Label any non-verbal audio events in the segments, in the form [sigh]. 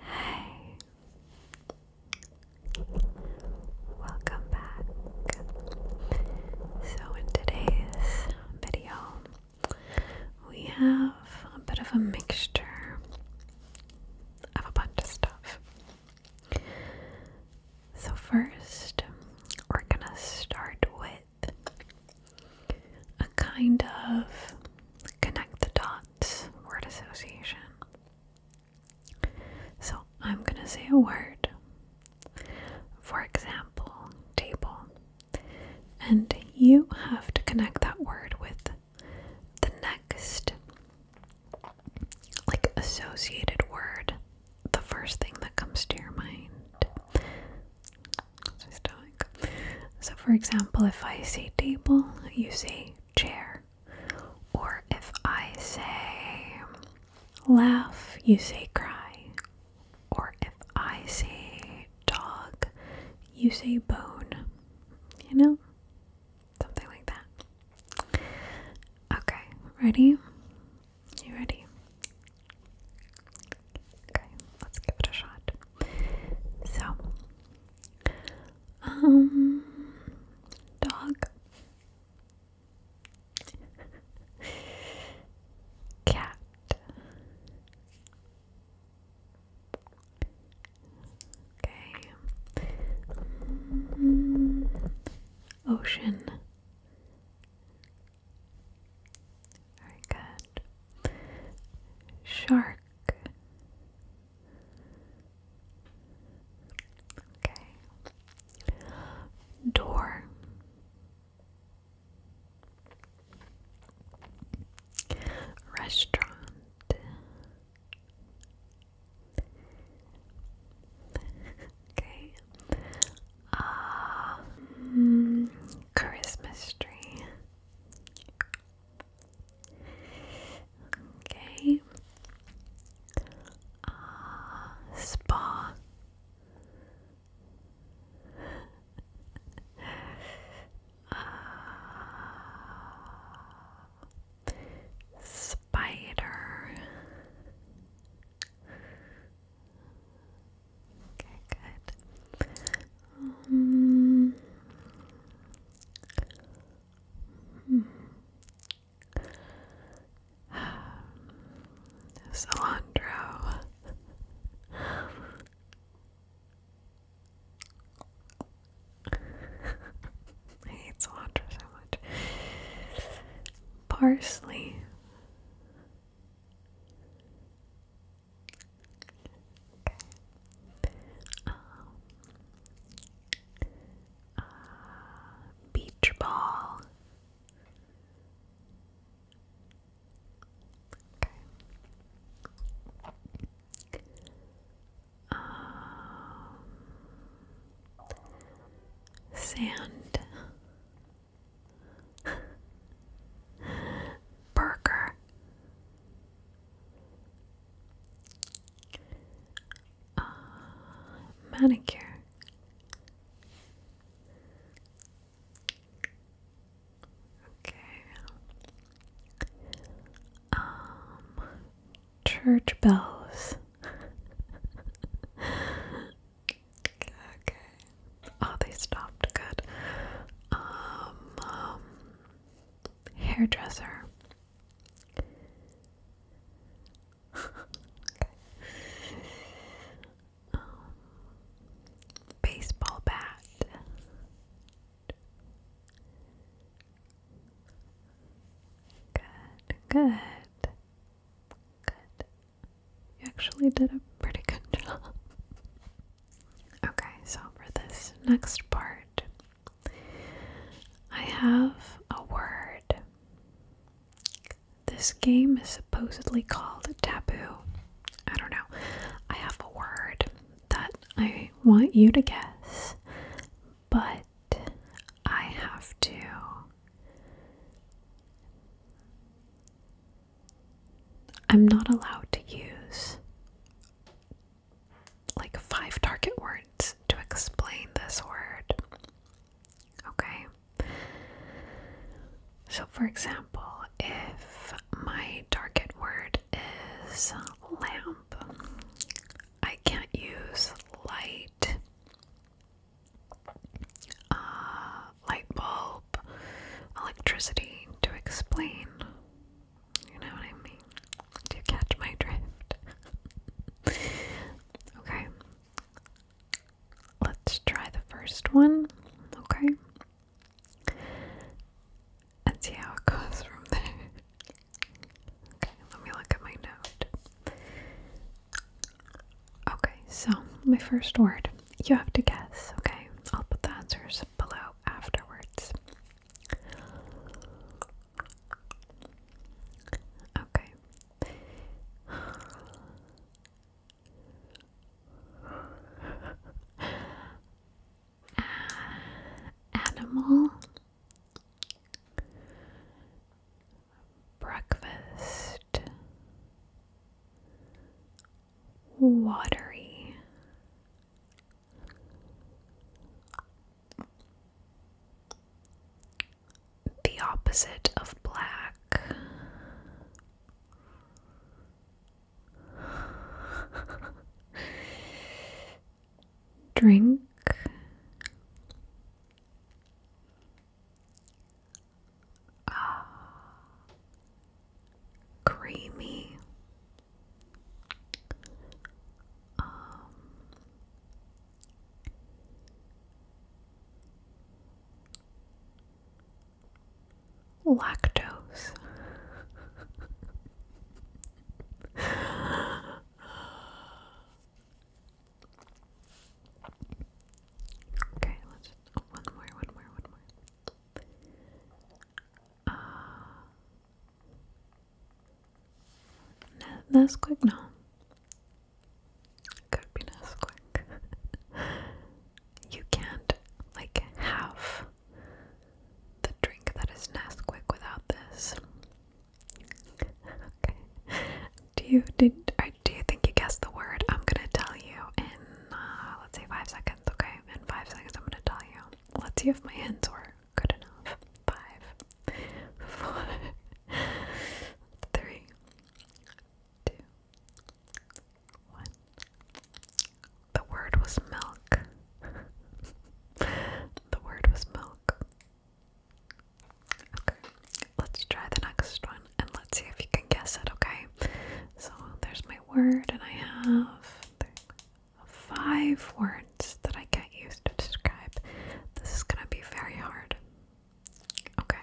Hey, welcome back. So, in today's video, we have a bit of a mixture of a bunch of stuff. So, first, we're gonna start with a kind of connect the dots word association. So I'm going to say a word. For example, table. And you have to connect that word with the next, like, associated word, the first thing that comes to your mind. So, for example, if I say table, you say chair. Or if I say laugh, you say cry. Or if I say dog, you say bone. You know? Something like that. Okay, ready? You ready? Okay, let's give it a shot. So, um, dog, cat, okay, um, ocean. Very good. Shark. Okay. Door. Restaurant. okay. Um, Christmas tree. Okay. Ah, spa. uh, spider. Okay, good. Um, [laughs] hmm. cilantro so much. Parsley. Okay. beach ball. sand. [laughs] Burger. Uh, manicure. Okay. Um, church bells. [laughs] okay. Oh, they stopped. Good. um, um hairdresser. baseball bat. Good, good, good. You actually did a pretty good job. Okay, so for this next part, I have a word. This game is supposedly called Taboo. I don't know. I have a word that I want you to guess, but I have to I'm not allowed to use like five target words to explain this word. Okay? So, for example, if my target word is lamp, I can't use light, uh, light bulb, electricity to explain you know what I mean? Do you catch my drift? [laughs] okay. Let's try the first one, okay? And see how it goes from there. Okay, let me look at my note. Okay, so my first word. You have to guess, okay? I'll put the answers below afterwards. Okay. animal breakfast watery. The opposite of black. Drink. Ah, creamy um, lactose. [laughs] okay, let's oh, one more, one more, one more. Uh, Nesquik? No. Could be Nesquik. [laughs] you can't, like, have the drink that is Nesquik without this. [laughs] okay. Do you, did, do you think you guessed the word? I'm gonna tell you in, uh, let's say five seconds, okay? In five seconds I'm gonna tell you let's see if my hands were good enough. Five, four, three, two, one. The word was milk. the word was milk. Okay, let's try the next one and let's see if you can guess it, okay? So there's my word, and I have five words that I get used to describe. This is gonna be very hard. Okay.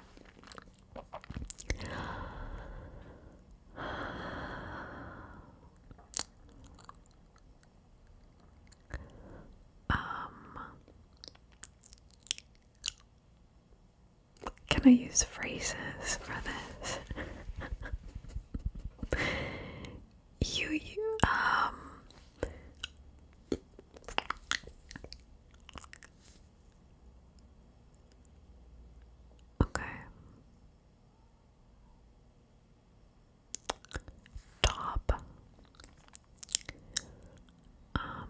Um, can I use phrases for this? [laughs] you, you um Okay. Top. Um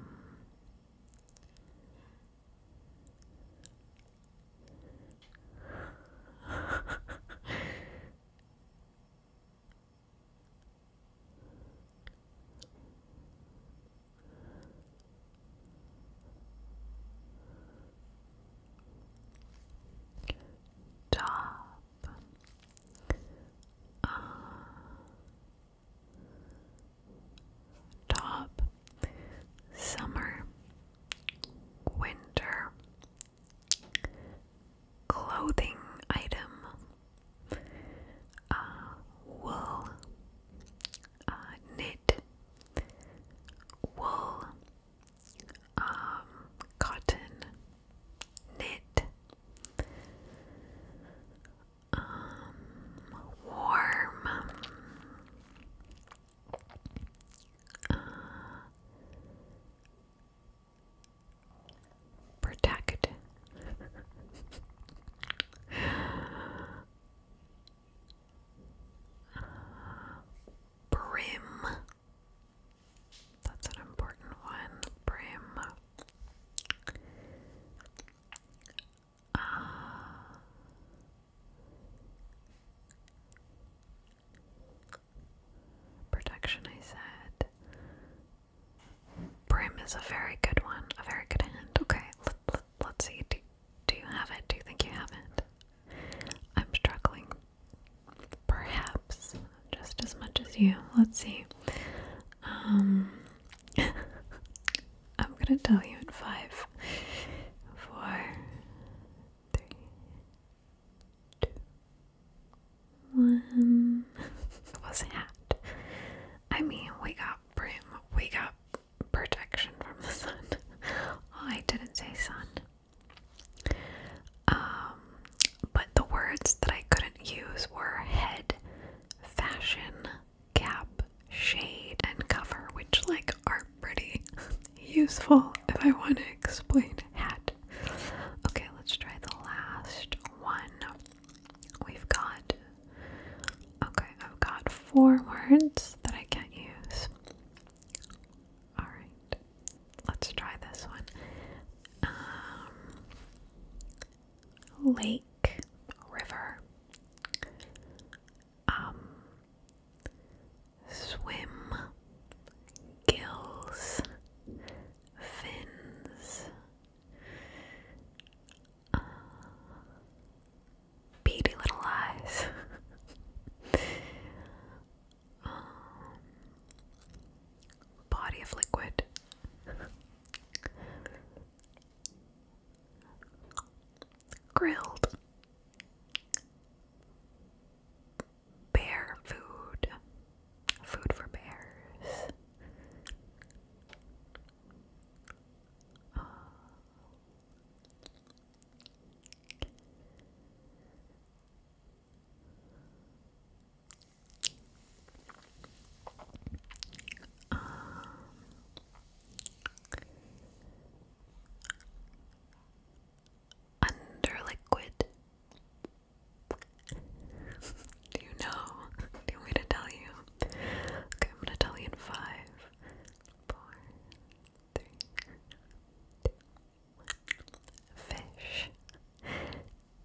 Top uh, Top summer, winter, clothing item, uh, wool, uh, knit, wool, um, cotton, knit, um, warm. Uh, protect. brim. That's an important one. Brim. Uh, Protection, I said. Brim is a very good one, a very good hint. Okay, let, us see. do you have it? Do you think you have it? I'm struggling. Perhaps just as much as you. Let's see. Um, [laughs] I'm gonna tell you in five, four, three, two, one. it [laughs] was a hat. I mean, we got brim, we got protection from the sun. [laughs] I didn't say sun. Um, but the words that I couldn't use were head, fashion, cap, shade, and cover, which, like, are pretty useful if I want to explain hat. Okay, let's try the last one. We've got okay, I've got four words that I can't use. Alright. Let's try this one. Um, lake river. Um, swim, gills, fins, uh, beady little eyes. [laughs] Um, body of liquid. Grilled bear food, food for bears under liquid. [laughs] Do you know? Do you want to tell you? Okay, I'm gonna tell you in five, four, three, two, one. Fish.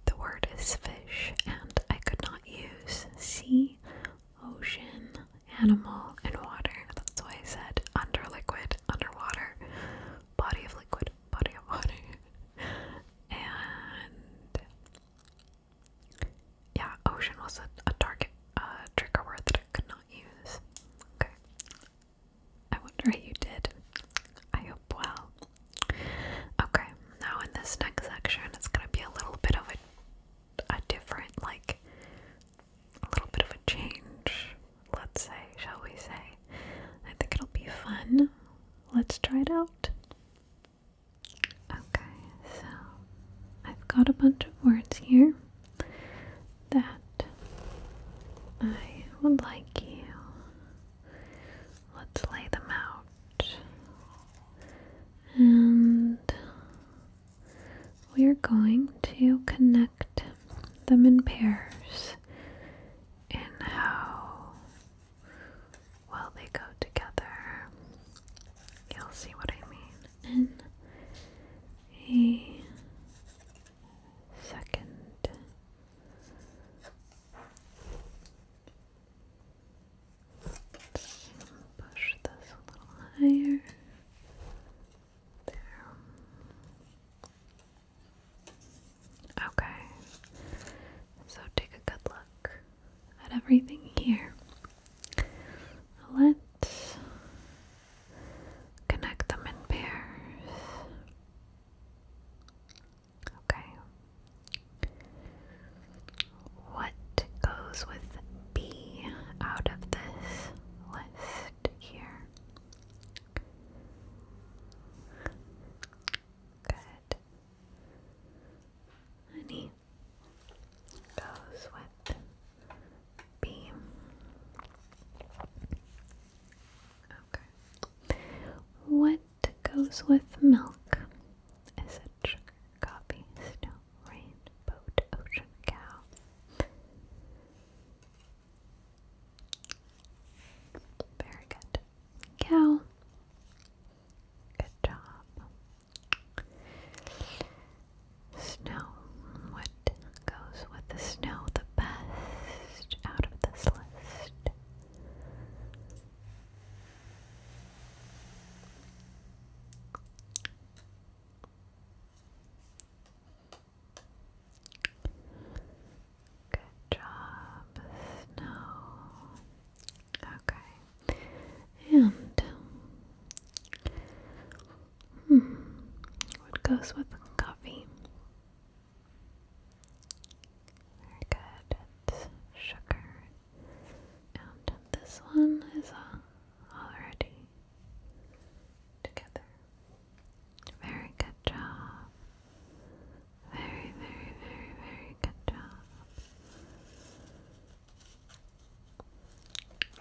The word is fish, and I could not use sea, ocean, animal, and water. That's why I said under liquid underwater body of liquid, body of water. [laughs] and yeah, ocean was a, target, a uh, word that I could not use. Okay. I wonder how you did. I hope well. Okay, now in this next section, it's gonna be a little bit of a, a different, like, a little bit of a change, let's say, shall we say. I think it'll be fun. Let's try it out. Okay, so I've got a bunch of words here that I would like you. Let's lay them out. And we are going to connect them in pairs and how well they go together. You'll see what I mean in a 2nd push this a little higher. Okay. So take a good look at everything here. Let's connect them in pairs. Okay. What goes with B out of this list here? Good. Honey goes with B. Okay. What goes with milk? Is it sugar, coffee, snow, rain, ocean, cow? Very good. Cow. Good job. Snow. What goes with the snow the best out of this list? Good job, Snow. Okay. And hmm, what goes with coffee? Very good. sugar. And this one is uh, already together. Very good job. Very, very, very, very good job. Okay,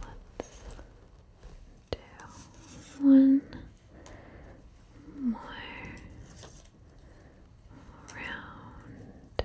let's do one more round.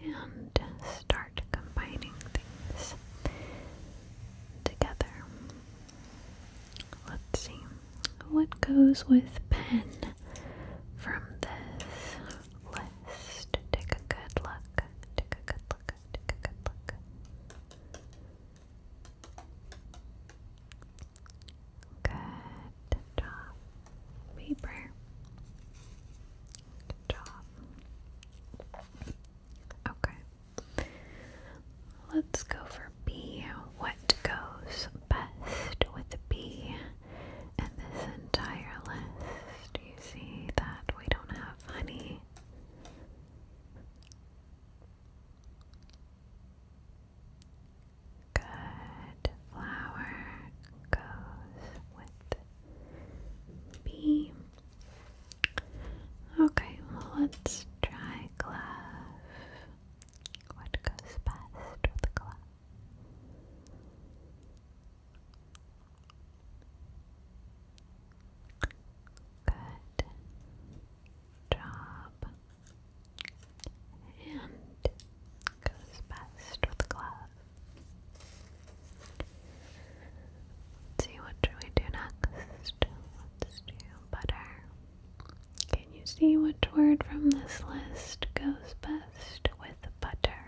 and start combining things together. Let's see what goes with pen from this list. Take a good look. Take a good look. Take a good look. Good. Good Paper. Good Okay. Let's go for B. What goes best with B in this entire list? Do you see that we don't have honey? Good. Flower goes with B. Okay, let's try glove. What goes best with glove? Good job. And goes best with glass. see, what should we do next? butter. Can you see which word from this list goes best with butter?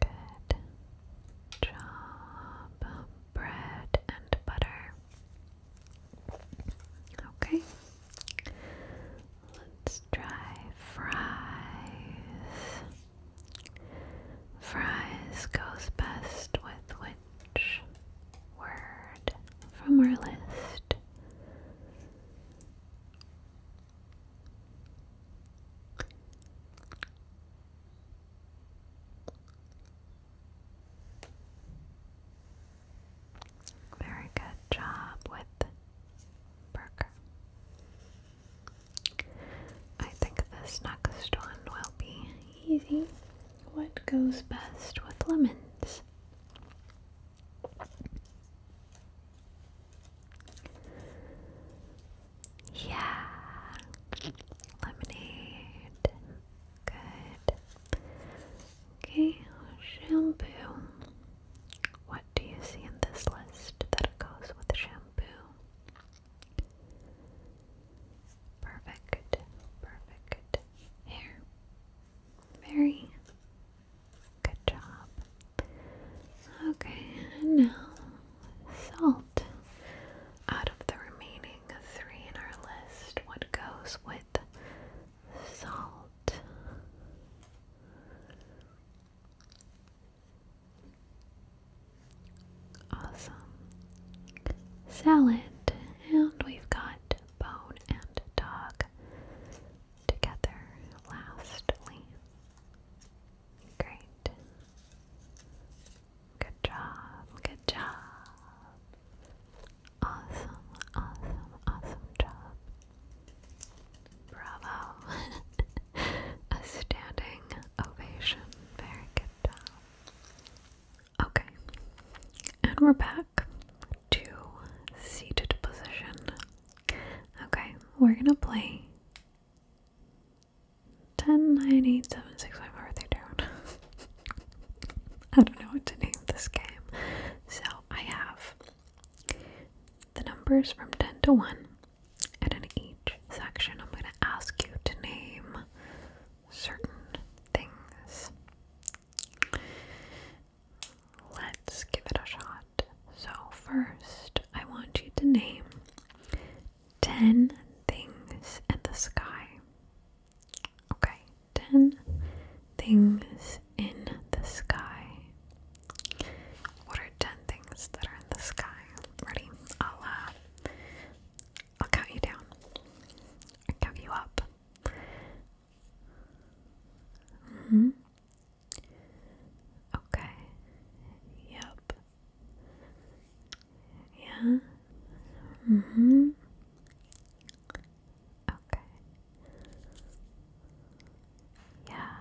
Good job bread and butter. Okay, let's try fries. Fries goes best with which word from our list? Very good job with Burger. I think this next one will be easy. What goes best with lemons? Yeah. Lemonade. Good. Okay, shampoo. What do you see in this list that goes with shampoo? Perfect. Perfect. Hair. Very good job. Okay, now salt. Out of the remaining three in our list, what goes with salt? Awesome. Salad, and we've got bone and dog together lastly. Great. Good job, good job. Awesome, awesome, awesome job. Bravo. [laughs] A standing ovation. Very good job. Okay. And we're back to seated position. Okay, we're gonna play 10, 9, 8, 7, 6, 5, 4, 3, 2. [laughs] I don't know what to name this game. So I have the numbers from 10 to 1, and in each section, I'm going to ask you to name certain things. Let's give it a shot. So, first, I want you to name 10 things in the sky. Okay, 10 things in the sky. What are 10 things that are in the sky? Ready? I'll, uh, I'll count you down. i count you up. Mm-hmm. Okay. Yep. Yeah? Mm hmm. Okay. Yeah.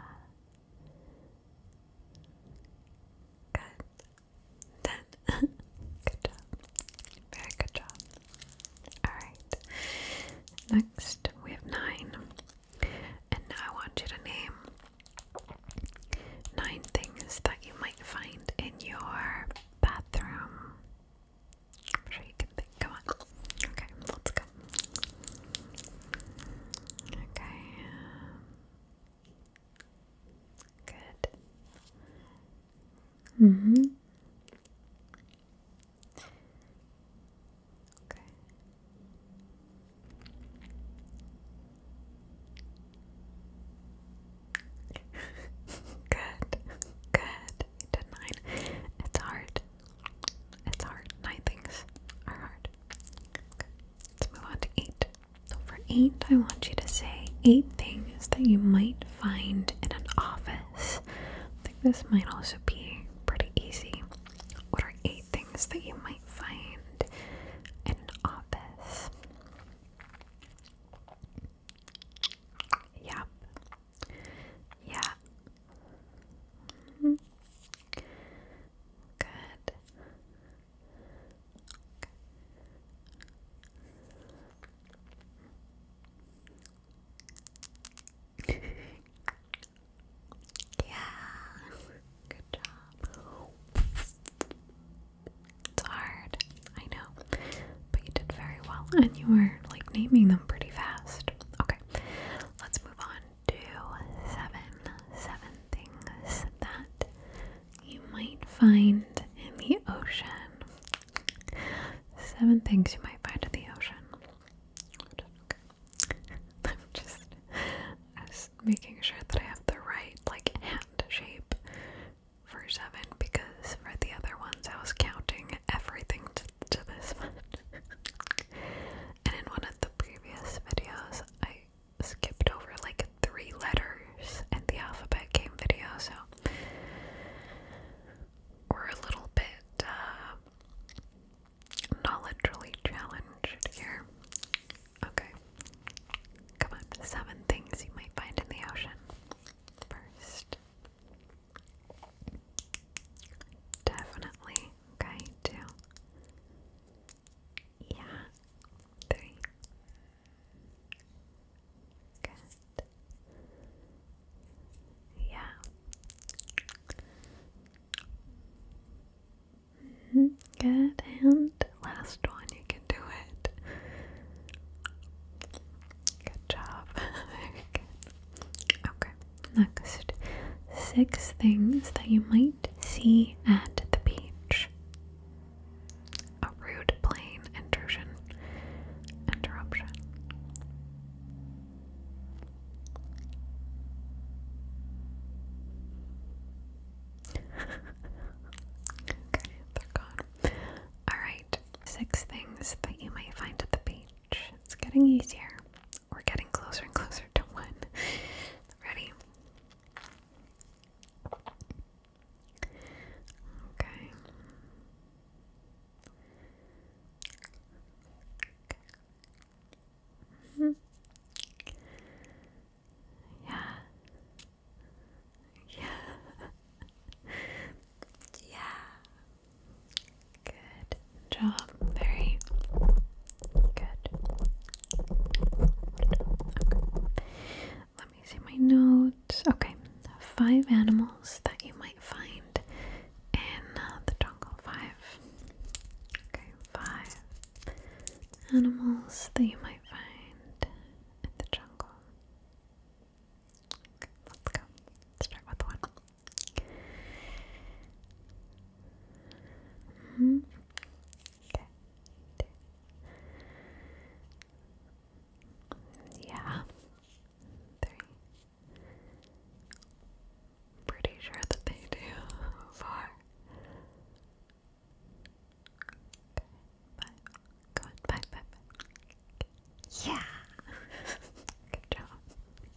Good. Then [laughs] good job. Very good job. Alright. Next we have nine. And now I want you to name Nine things that you might find in your bathroom. sure you can think. Come on. Okay, let's go. Okay. Good. Mm hmm. Okay. [laughs] good, good. You did nine. It's hard. It's hard. Nine things are hard. Okay. Let's move on to eight. So for eight, I want you to say eight things that you might find in an office. I think this might also be pretty easy. What are eight things that you might find in an office? Yep. Yeah. Good. [laughs] yeah. Good job. It's hard, I know. But you did very well and you were like naming them pretty fast. Okay, let's move on to seven. Seven things that you might find in the ocean. Seven things you might find in the ocean. [laughs] I'm just, making sure that I have the right like hand shape for seven because for the other ones I was counting everything to, this [laughs] one. and in one of the previous videos, I skipped over like three letters in the alphabet game video, so we're a little bit uh, knowledgeably challenged here. Okay. Come on. Seven things you might find in the ocean. First. Definitely. Okay, two. Yeah. Three. Good. Yeah. -hmm. Good, and last one, you can do it. Good job. [laughs] Okay, next. Six things that you might see at the beach. A rude plane intrusion. Interruption okay, they're gone. Alright, six things that you might find at the beach. It's getting easier. We're getting closer and closer to one. Ready? Okay. -hmm. Yeah. Yeah. yeah. Good job. Very good. Let me see my notes. Okay. Five animals that you might find in uh, the jungle. Five. Okay. Five animals that you might find the jungle. Okay, let's go. Let's start with one. -hmm. Okay. Yeah. Three. Pretty sure that they do. [laughs] Four. Bye. Go on, bye, bye, bye. Yeah! [laughs] Good job.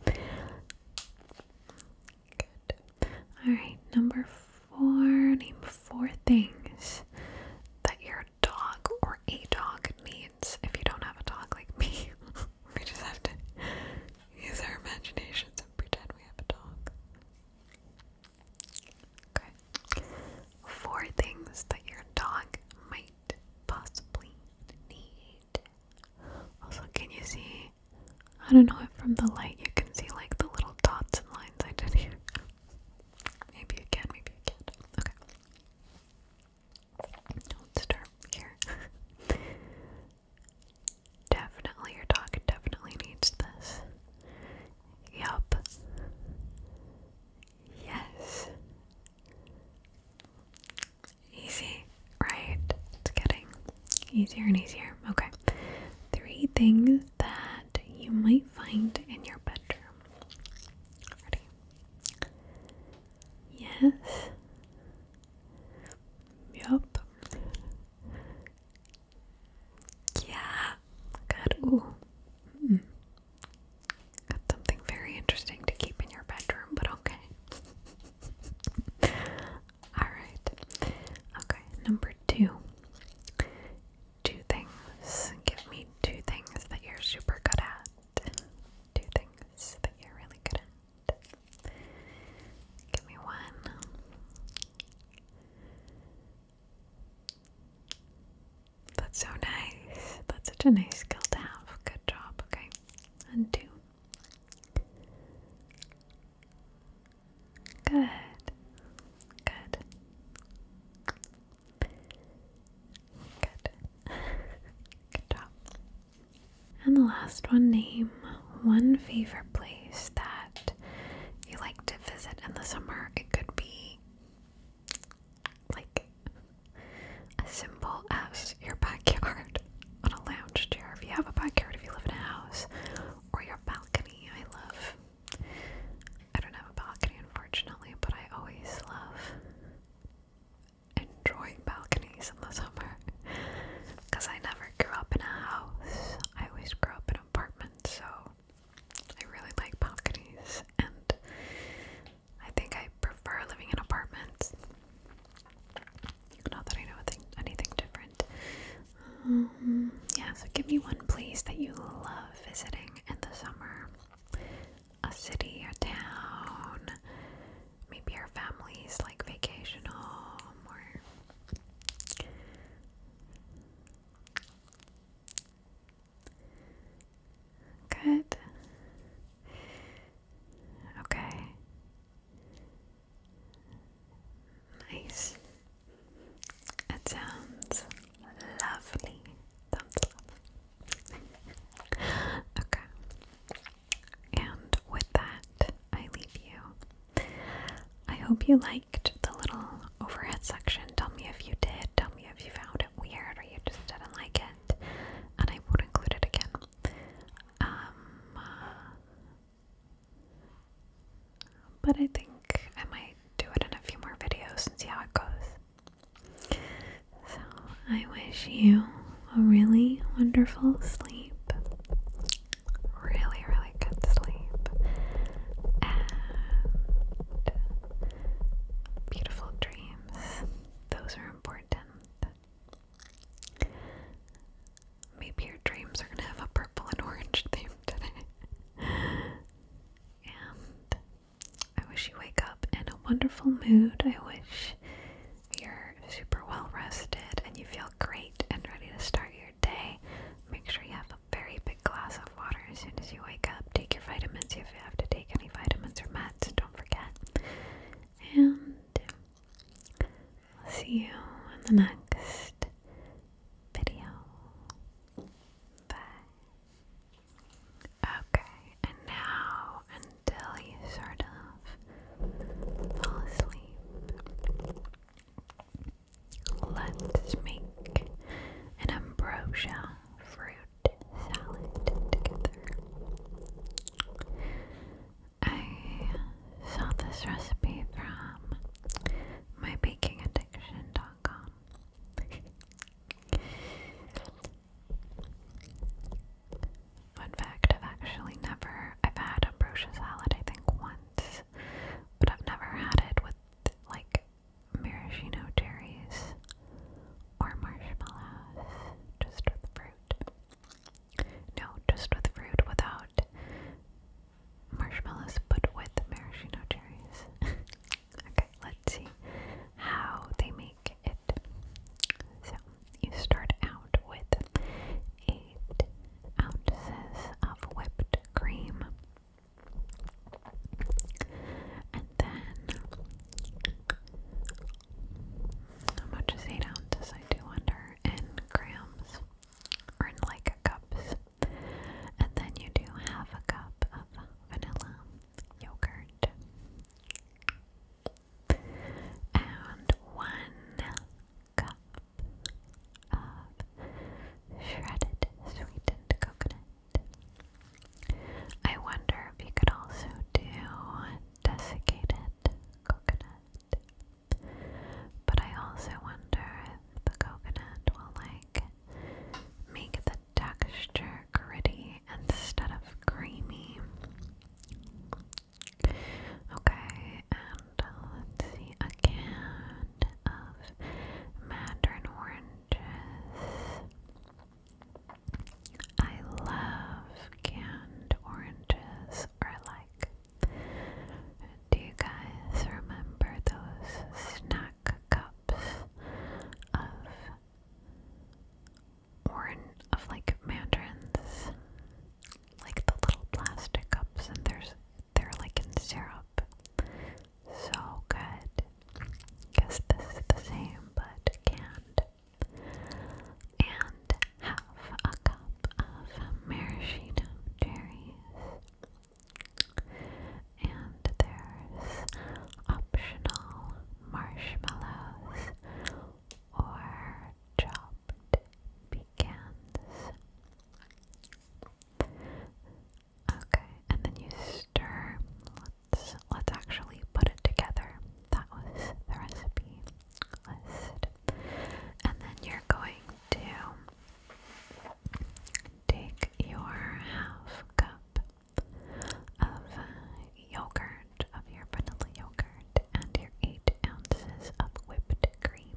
Good. Alright, number four. Name four things that your dog or a dog needs if you don't have a dog like me. [laughs] we just have to use our imaginations and pretend we have a dog. Four things that your dog might possibly need. Also, can you see? I don't know if from the light you can see like the little dots and lines I did here. Maybe you can, maybe you can Okay. Don't start here. [laughs] definitely, your dog definitely needs this. Yup. Yes. Easy, right? It's getting easier and easier. Okay. Three things that you might find in your bedroom. Ready? Yes. Yup. Yeah, good. Ooh. Got something very interesting to keep in your bedroom, but okay. [laughs] Alright. Okay, number two. Two things. Give me two things that you're super good at. Two things that you're really good at. Give me one. That's so nice. That's such a nice skill to have. Good job. Okay. And Good. Good. Good. [laughs] Good job. And the last one name one favorite place that you like to visit in the summer. It could be like a simple as your backyard on a lounge chair if you have a backyard, if you live in a house, or your balcony. I love. I don't have a balcony, unfortunately, but I always love enjoying balconies in the summer because I never grew up in a house. I always grew up in an apartment. so I really like balconies, and I think I prefer living in apartments. Not that I know anything different. Um, yeah, so give me one place that you love visiting in the summer. A city, a town, maybe your family's like vacation home or Good. Okay. Nice. It sounds lovely. Sounds lovely. okay. And with that, I leave you. I hope you liked the little overhead section. Tell me if you did. Tell me if you found it weird or you just didn't like it. And I would include it again. Um, but I think I might do it in a few more videos and see how it goes. So I wish you a really wonderful sleep. Really, really good sleep beautiful dreams. Those are important. Maybe your dreams are gonna have a purple and orange [laughs] theme today. and I wish you wake up in a wonderful mood. I wish you're super well rested and you feel great and ready to start your day. Make sure you have very big glass of water as soon as you wake up. Take your vitamins if you have to take any vitamins or meds, don't forget. And I'll see you in the next video. Bye. Okay, and now until you sort of fall asleep. Let's make an ambrosia fruit salad together. I saw this recipe from mybakingaddiction.com. Fun fact, I've actually never, I've had ambrosia salad I think once, but I've never had it with like maraschino cherries or marshmallows, just with fruit. No, just with fruit without marshmallows, but with maraschino cherries. [laughs] okay, let's see how they make it. So, you start out with 8 ounces of whipped cream. And then how much is eight ounces? I do wonder in grams or in like cups. And then you do half a cup of vanilla yogurt. And one cup of shredded sweetened coconut I wonder if you could also do desiccated coconut. But I also wonder if the coconut will like make the texture gritty instead of creamy. Okay, and let's see a can of mandarin orange I love canned oranges or like do you guys remember those snack cups of orange of like mandarins? Like the little plastic cups and there's they're like in syrup. So good. Guess this is the same, but canned. And have a cup of maraschino cherries. And there's optional marshmallows or chopped pecans. Okay, and then you stir. Let's let's actually put it together. That was the recipe list. And then you're going to take your half cup of yogurt, of your vanilla yogurt, and your eight ounces of whipped cream.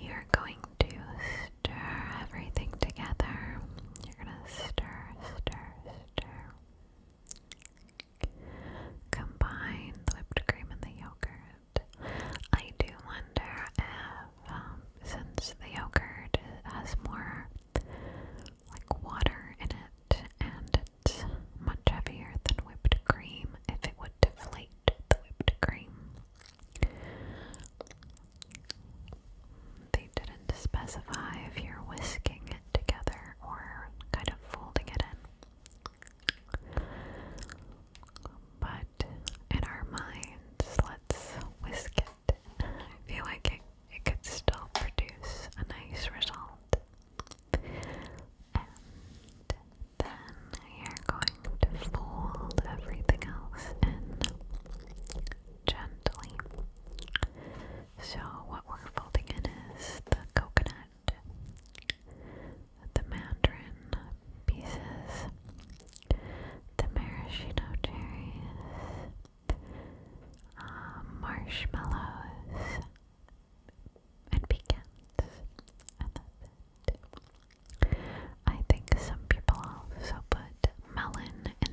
You're going to stir everything together. You're going to stir, stir, stir. Combine the whipped cream and the yogurt. I do wonder if, um, since the yogurt has more like water in it and it's much heavier than whipped cream, if it would deflate the whipped cream. They didn't specify if you're whisking it together or kind of folding it in. But in our minds, let's whisk it. I feel like it, it could still produce a nice result. And then you're going to fold everything else in gently. So, what we're folding in is the coconut, the mandarin pieces, the maraschino cherries, um, marshmallows, and pecans. And that's it. I think some people also put melon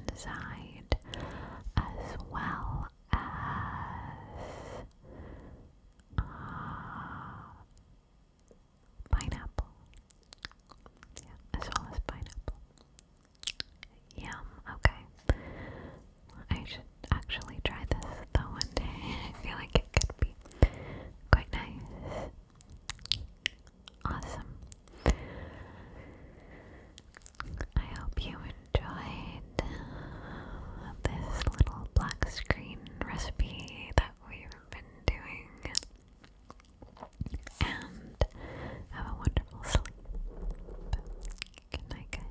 inside as well as uh, pineapple. Yeah, as well as pineapple. Yum, okay. I should actually try this though one day. [laughs] I feel like it could be quite nice. Awesome. I hope you enjoyed uh, this little black screen recipe that we've been doing. And have a wonderful sleep. Good night, guys.